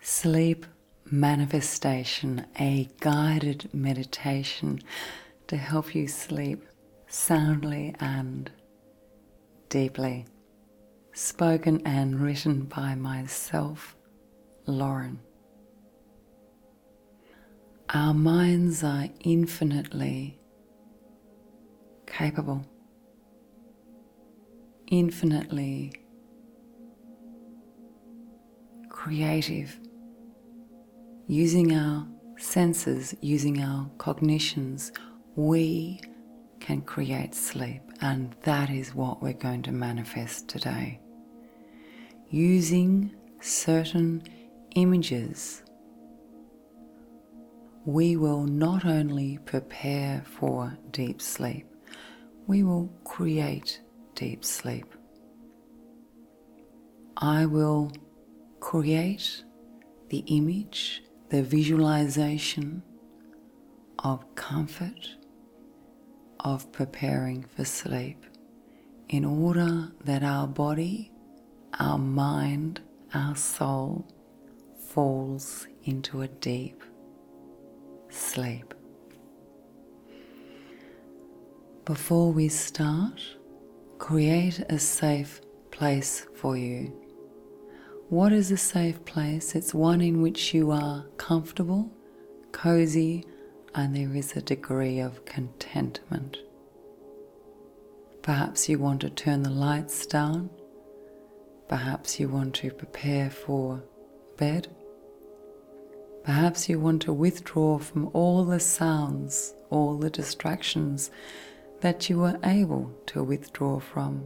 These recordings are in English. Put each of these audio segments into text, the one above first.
Sleep Manifestation, a guided meditation to help you sleep soundly and deeply. Spoken and written by myself, Lauren. Our minds are infinitely capable infinitely creative, using our senses, using our cognitions, we can create sleep, and that is what we're going to manifest today. Using certain images we will not only prepare for deep sleep, we will create deep sleep. I will create the image, the visualization of comfort, of preparing for sleep, in order that our body, our mind, our soul, falls into a deep sleep. Before we start, create a safe place for you. What is a safe place? It's one in which you are comfortable, cozy, and there is a degree of contentment. Perhaps you want to turn the lights down Perhaps you want to prepare for bed. Perhaps you want to withdraw from all the sounds, all the distractions that you were able to withdraw from.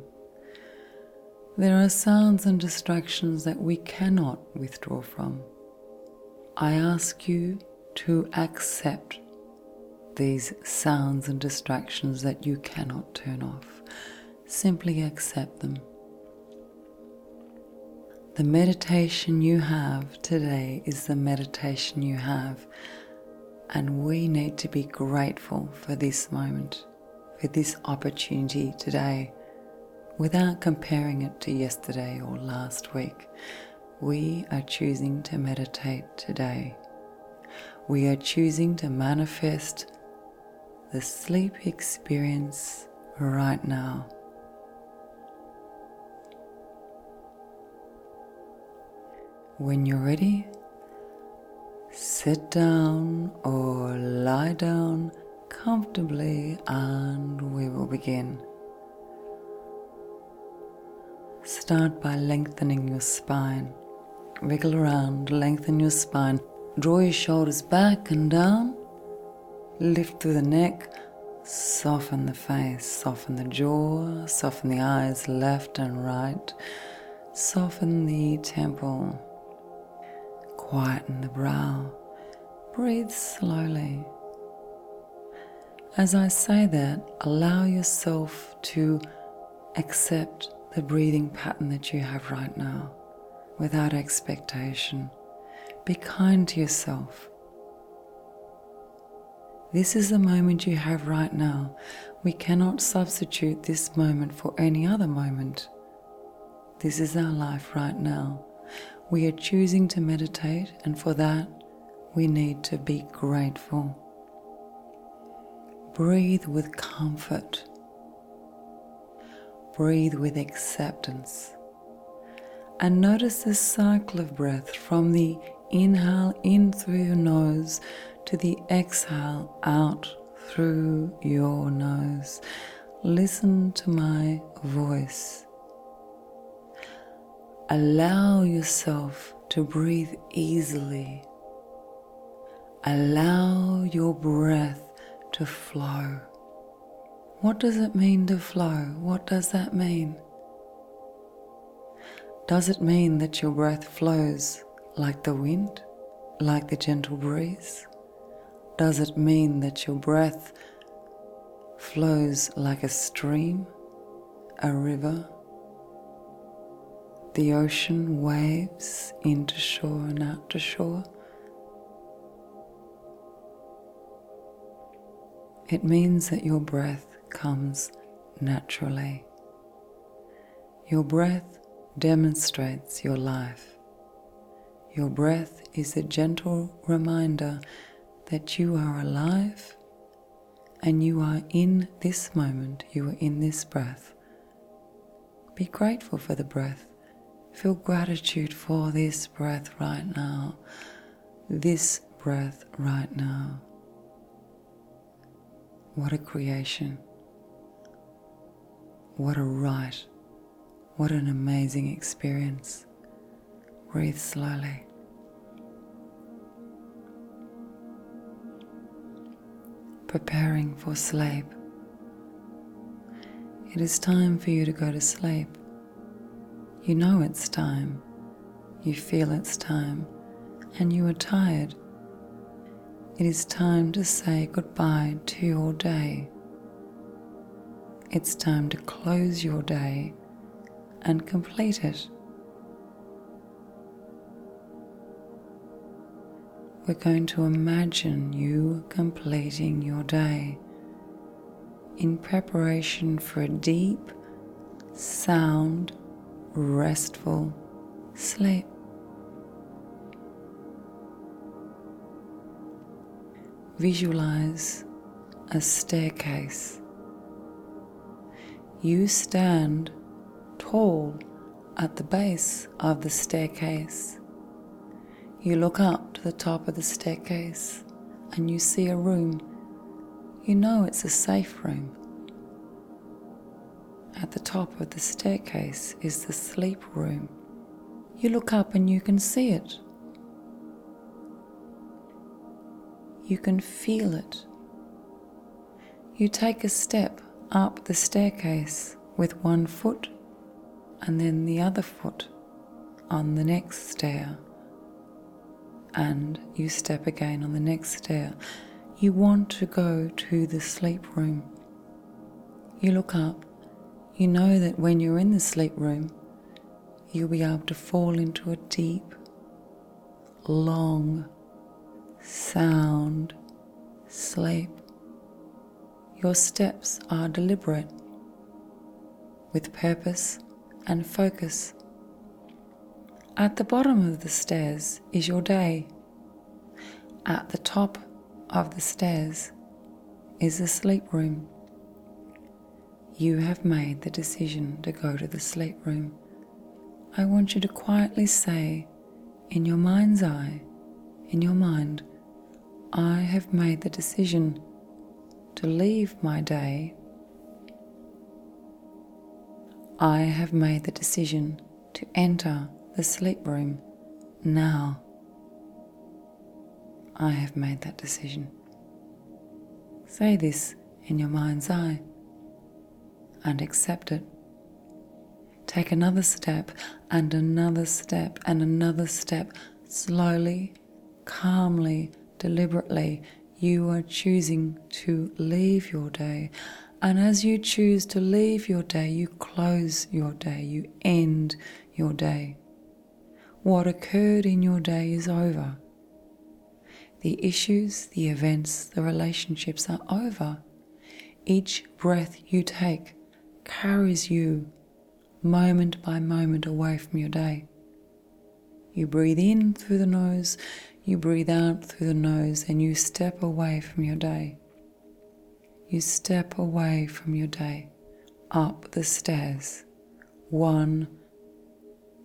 There are sounds and distractions that we cannot withdraw from. I ask you to accept these sounds and distractions that you cannot turn off simply accept them. The meditation you have today is the meditation you have, and we need to be grateful for this moment, for this opportunity today, without comparing it to yesterday or last week. We are choosing to meditate today. We are choosing to manifest the sleep experience right now. When you're ready, sit down or lie down comfortably and we will begin. Start by lengthening your spine. Wiggle around, lengthen your spine. Draw your shoulders back and down. Lift through the neck. Soften the face, soften the jaw, soften the eyes left and right. Soften the temple. Quieten the brow. Breathe slowly. As I say that, allow yourself to Accept the breathing pattern that you have right now without expectation. Be kind to yourself. This is the moment you have right now. We cannot substitute this moment for any other moment. This is our life right now. We are choosing to meditate, and for that, we need to be grateful. Breathe with comfort Breathe with acceptance and notice the cycle of breath from the inhale in through your nose to the exhale out through your nose. Listen to my voice. Allow yourself to breathe easily Allow your breath to flow. What does it mean to flow? What does that mean? Does it mean that your breath flows like the wind, like the gentle breeze? Does it mean that your breath flows like a stream, a river? the ocean waves into shore and out to shore. It means that your breath comes naturally. Your breath demonstrates your life. Your breath is a gentle reminder that you are alive and you are in this moment, you are in this breath. Be grateful for the breath. Feel gratitude for this breath right now. This breath right now. What a creation. What a right. What an amazing experience. Breathe slowly preparing for sleep. It is time for you to go to sleep. You know it's time. You feel it's time. And you are tired. It is time to say goodbye to your day. It's time to close your day and complete it. We're going to imagine you completing your day in preparation for a deep, sound, restful sleep. Visualize a staircase. You stand tall at the base of the staircase. You look up to the top of the staircase and you see a room. You know it's a safe room. At the top of the staircase is the sleep room. You look up and you can see it. You can feel it you take a step up the staircase with one foot and then the other foot on the next stair. And you step again on the next stair. You want to go to the sleep room. You look up. You know that when you're in the sleep room, you'll be able to fall into a deep, long sound sleep. Your steps are deliberate, with purpose and focus. At the bottom of the stairs is your day. At the top of the stairs is the sleep room. You have made the decision to go to the sleep room. I want you to quietly say in your mind's eye, in your mind, I have made the decision to leave my day. I have made the decision to enter the sleep room now. I have made that decision. Say this in your mind's eye and accept it Take another step and another step and another step, slowly, calmly, deliberately. You are choosing to leave your day. And as you choose to leave your day, you close your day, you end your day. What occurred in your day is over. The issues, the events, the relationships are over. Each breath you take carries you moment by moment away from your day. You breathe in through the nose, you breathe out through the nose, and you step away from your day. You step away from your day, up the stairs, one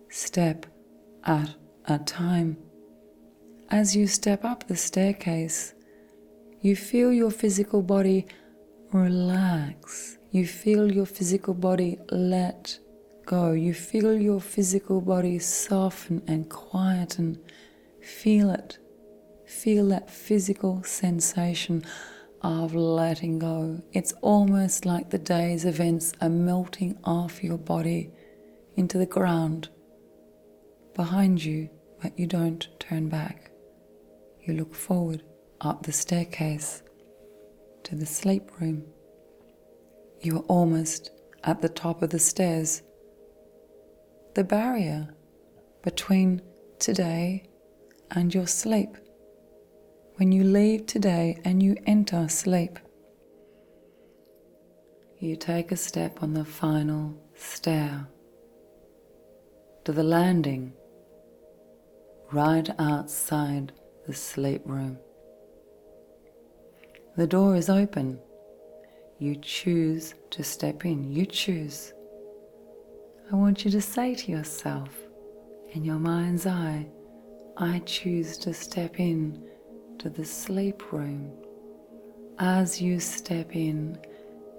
step at a time, as you step up the staircase, you feel your physical body relax. You feel your physical body let go. You feel your physical body soften and quieten. Feel it. Feel that physical sensation of letting go. It's almost like the day's events are melting off your body into the ground behind you, but you don't turn back. You look forward up the staircase to the sleep room. You are almost at the top of the stairs. The barrier between today and your sleep. When you leave today and you enter sleep, you take a step on the final stair to the landing right outside the sleep room. The door is open. You choose to step in. You choose. I want you to say to yourself in your mind's eye, I choose to step in to the sleep room as you step in,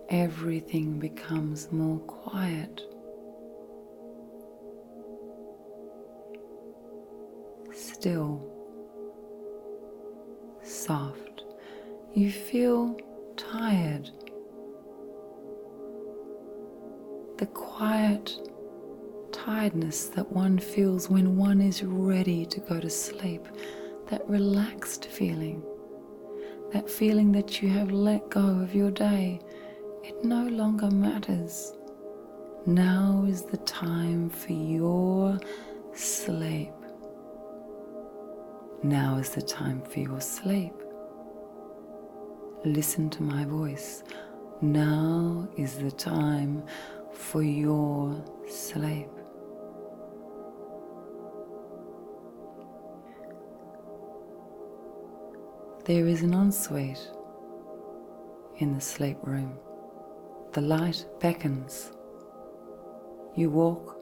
everything becomes more quiet. Still, soft, you feel tired. The quiet tiredness that one feels when one is ready to go to sleep that relaxed feeling, that feeling that you have let go of your day. It no longer matters. Now is the time for your sleep. Now is the time for your sleep. Listen to my voice. Now is the time for your sleep. There is an ensuite in the sleep room. The light beckons. You walk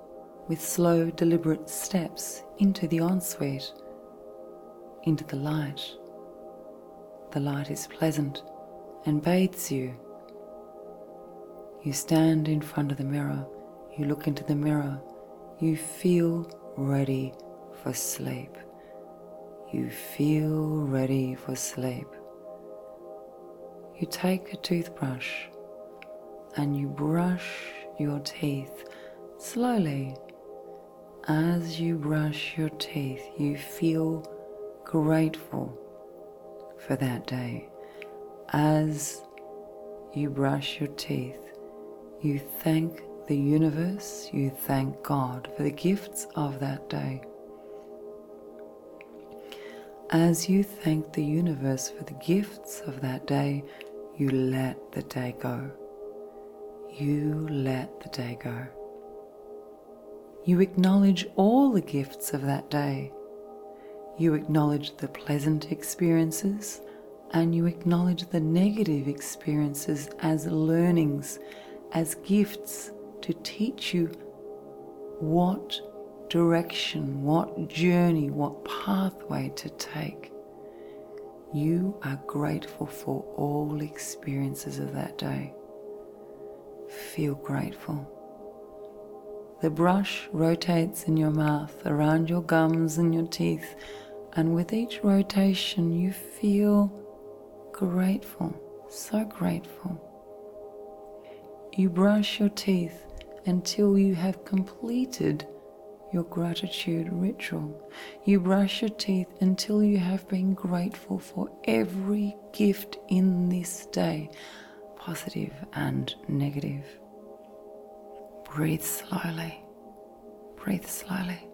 with slow, deliberate steps into the ensuite, into the light. The light is pleasant and bathes you you stand in front of the mirror, you look into the mirror, you feel ready for sleep. You feel ready for sleep. You take a toothbrush and you brush your teeth slowly. As you brush your teeth, you feel grateful for that day. As you brush your teeth, you thank the universe, you thank God for the gifts of that day. As you thank the universe for the gifts of that day, you let the day go. You let the day go. You acknowledge all the gifts of that day you acknowledge the pleasant experiences and you acknowledge the negative experiences as learnings, as gifts to teach you what direction, what journey, what pathway to take. You are grateful for all experiences of that day. Feel grateful. The brush rotates in your mouth, around your gums and your teeth, and with each rotation, you feel grateful, so grateful. You brush your teeth until you have completed your gratitude ritual. You brush your teeth until you have been grateful for every gift in this day positive and negative. Breathe slowly. Breathe slowly.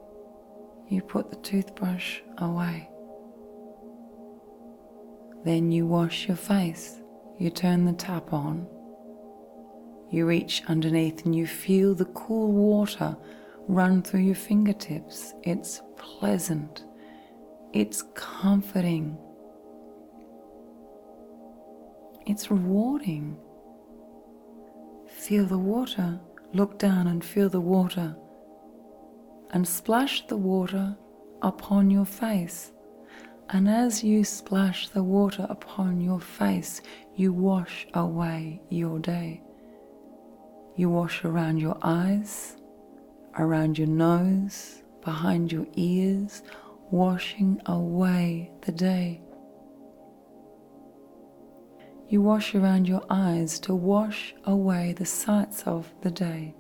You put the toothbrush away. Then you wash your face. You turn the tap on. You reach underneath and you feel the cool water run through your fingertips. It's pleasant. It's comforting. It's rewarding. Feel the water. Look down and feel the water. And splash the water upon your face. And as you splash the water upon your face, you wash away your day. You wash around your eyes, around your nose, behind your ears, washing away the day. You wash around your eyes to wash away the sights of the day.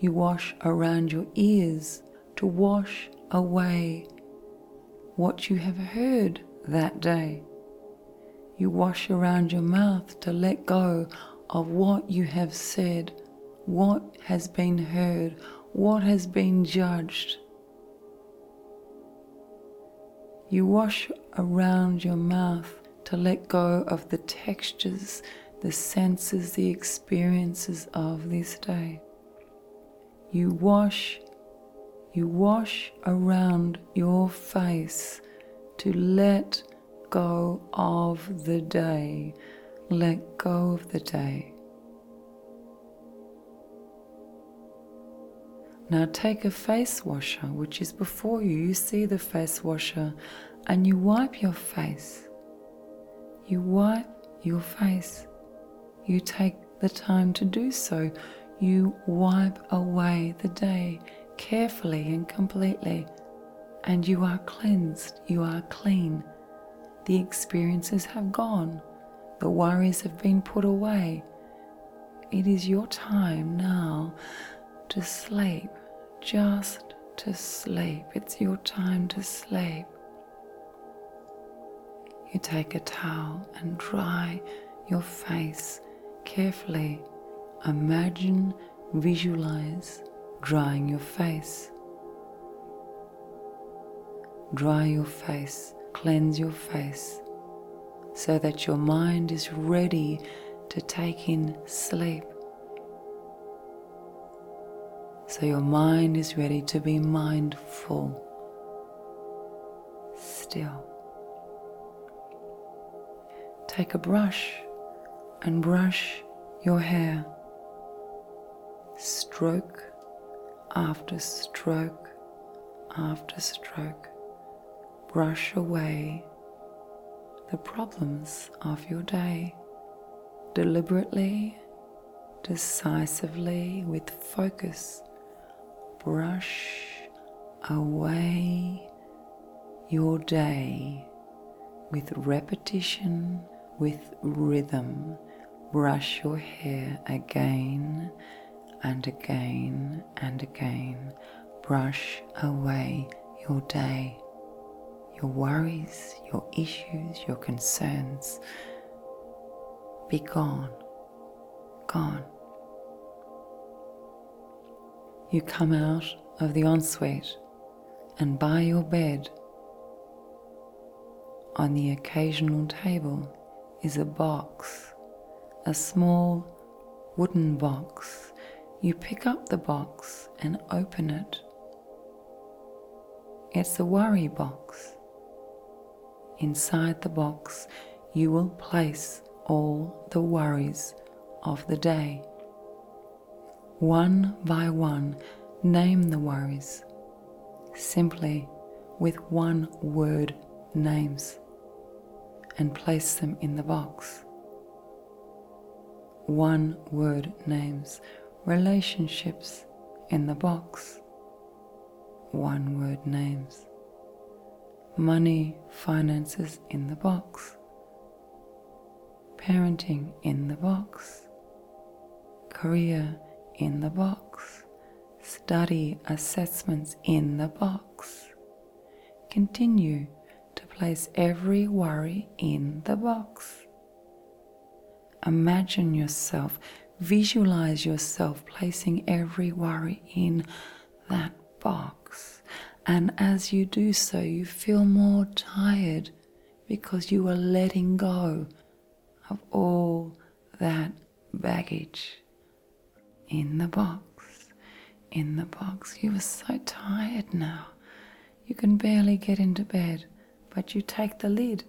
You wash around your ears to wash away what you have heard that day. You wash around your mouth to let go of what you have said what has been heard, what has been judged. You wash around your mouth to let go of the textures, the senses, the experiences of this day. You wash, you wash around your face to let go of the day, let go of the day. Now take a face washer, which is before you. You see the face washer and you wipe your face. You wipe your face. You take the time to do so. You wipe away the day carefully and completely. And you are cleansed. You are clean. The experiences have gone, the worries have been put away. It is your time now to sleep, just to sleep. It's your time to sleep. You take a towel and dry your face carefully. Imagine visualize drying your face. Dry your face, cleanse your face, so that your mind is ready to take in sleep. So your mind is ready to be mindful, still. Take a brush and brush your hair stroke after stroke after stroke, brush away the problems of your day deliberately, decisively, with focus. Brush away your day. With repetition, with rhythm, brush your hair again and again and again. Brush away your day, your worries, your issues, your concerns. Be gone, gone. You come out of the ensuite and by your bed. On the occasional table is a box, a small wooden box. You pick up the box and open it. It's a worry box. Inside the box, you will place all the worries of the day. One by one, name the worries. Simply, with one word, names and place them in the box. One word names relationships in the box. One word names money, finances in the box. Parenting in the Box, Career in the Box, Study Assessments in the Box. Continue to place every worry in the box. Imagine yourself, visualize yourself placing every worry in that box. And as you do so, you feel more tired because you are letting go of all that baggage in the box. In the box, you are so tired now. You can barely get into bed, but you take the lid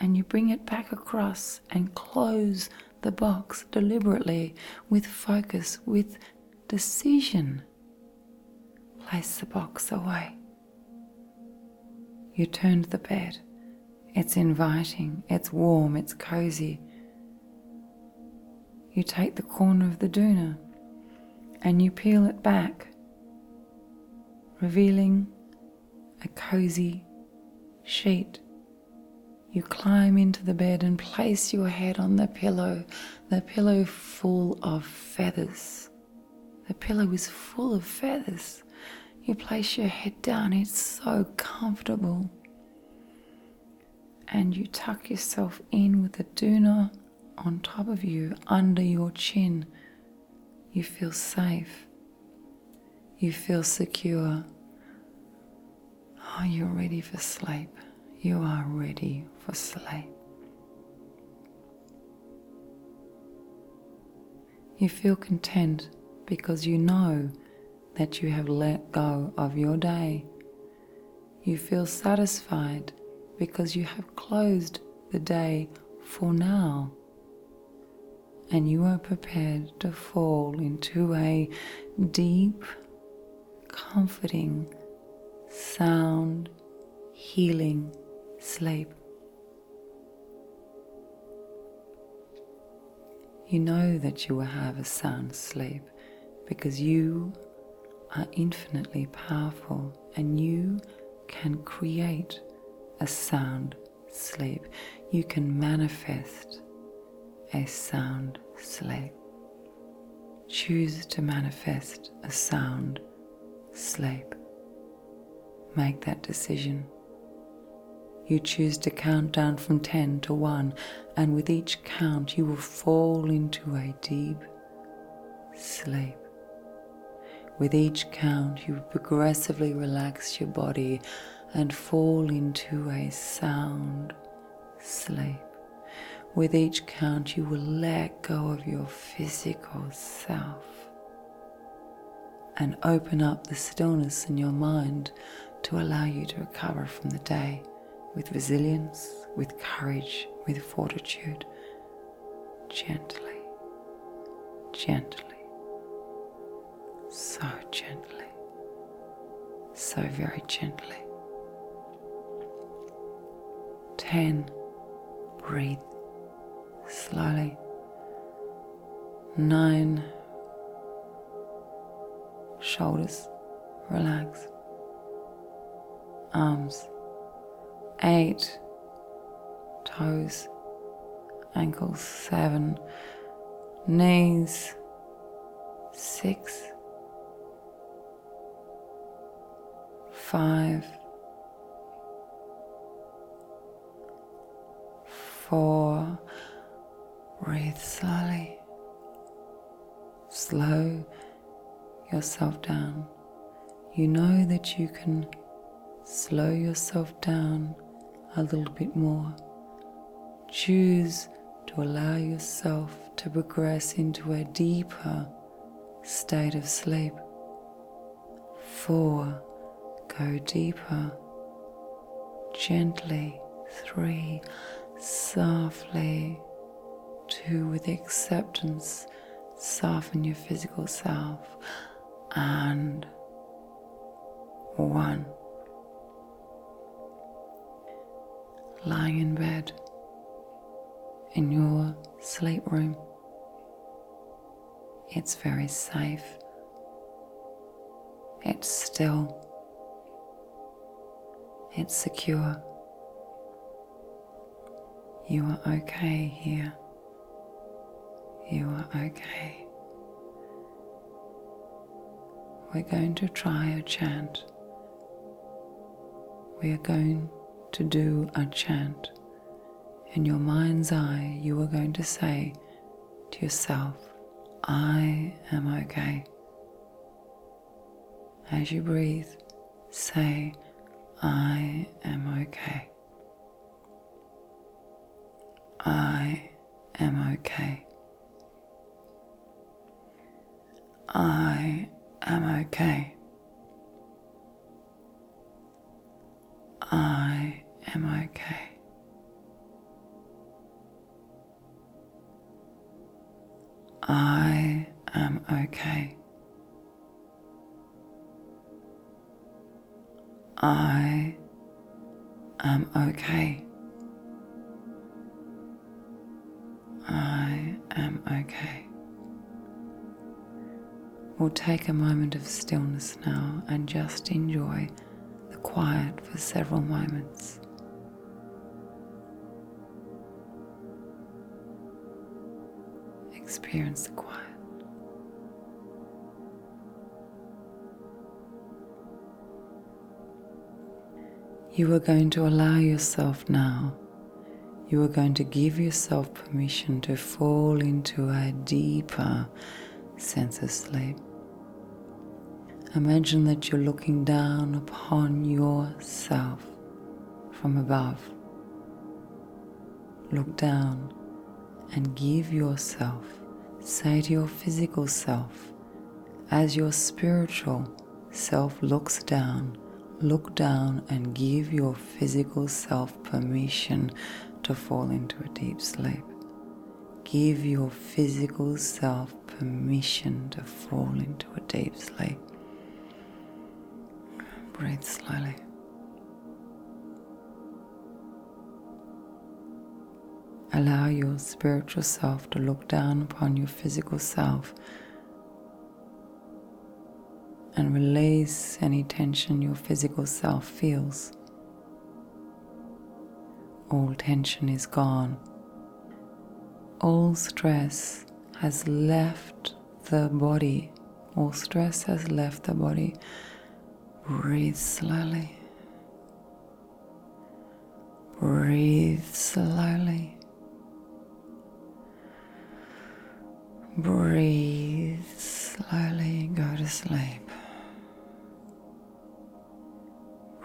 and you bring it back across and close the box deliberately with focus, with decision. Place the box away. You turn the bed. It's inviting, it's warm, it's cozy. You take the corner of the duvet and you peel it back, revealing a cozy sheet. You climb into the bed and place your head on the pillow, the pillow full of feathers. The pillow is full of feathers. You place your head down, it's so comfortable. And you tuck yourself in with the doona on top of you, under your chin. You feel safe. You feel secure. Are oh, you ready for sleep. You are ready for sleep. You feel content because you know that you have let go of your day. You feel satisfied because you have closed the day for now. And you are prepared to fall into a deep, comforting, sound, healing sleep. You know that you will have a sound sleep because you are infinitely powerful and you can create a sound sleep. You can manifest a sound sleep. Choose to manifest a sound sleep. Make that decision. You choose to count down from 10 to 1, and with each count, you will fall into a deep sleep. With each count, you will progressively relax your body and fall into a sound sleep. With each count, you will let go of your physical self and open up the stillness in your mind to allow you to recover from the day with resilience, with courage, with fortitude, gently, gently, so gently, so very gently. 10. Breathe slowly. 9. Shoulders relaxed. Arms. 8. Toes. Ankles. 7. Knees. 6 five, four. Breathe slowly. Slow yourself down. You know that you can slow yourself down a little bit more. Choose to allow yourself to progress into a deeper state of sleep. Four, go deeper, gently. Three, softly. Two, with acceptance, soften your physical self. And one. Lying in bed in your sleep room. It's very safe. It's still. It's secure. You are okay here. You are okay. We're going to try a chant. We are going to do a chant in your mind's eye, you are going to say to yourself, I am okay. As you breathe, say, I am okay. I am okay. I am okay. I am okay. I am okay. I am okay. I am okay. We'll take a moment of stillness now and just enjoy the quiet for several moments. Experience the quiet. You are going to allow yourself now you are going to give yourself permission to fall into a deeper sense of sleep. Imagine that you're looking down upon yourself from above. Look down and give yourself, say to your physical self, as your spiritual self looks down look down and give your physical self permission to fall into a deep sleep. Give your physical self permission to fall into a deep sleep. Breathe slowly. Allow your spiritual self to look down upon your physical self and release any tension your physical self feels. All tension is gone. All stress has left the body. All stress has left the body. Breathe slowly. Breathe slowly. Breathe slowly, go to sleep.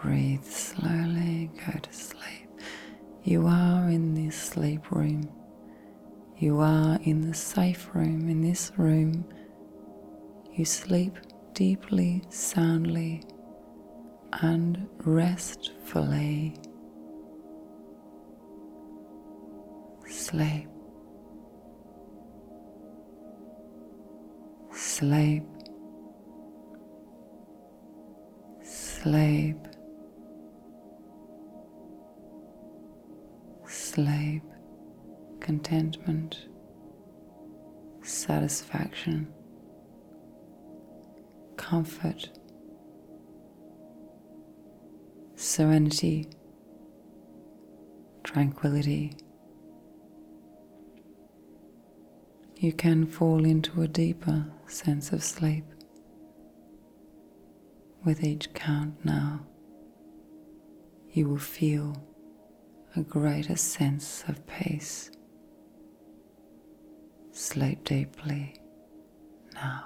Breathe slowly, go to sleep. You are in this sleep room. You are in the safe room, in this room. You sleep deeply, soundly, and restfully sleep, sleep, sleep, sleep, contentment, satisfaction, comfort serenity, tranquility. You can fall into a deeper sense of sleep with each count now. You will feel a greater sense of peace. Sleep deeply now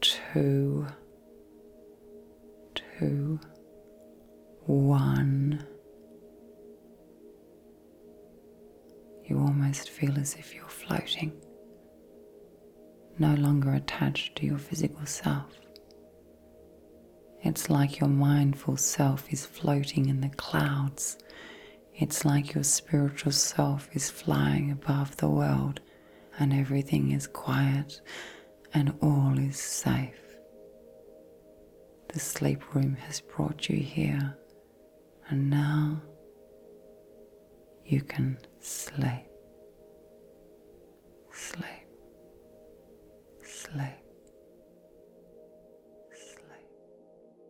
two, two, one. You almost feel as if you're floating, no longer attached to your physical self. It's like your mindful self is floating in the clouds it's like your spiritual self is flying above the world and everything is quiet and all is safe. The sleep room has brought you here and now you can sleep. Sleep. Sleep. Sleep.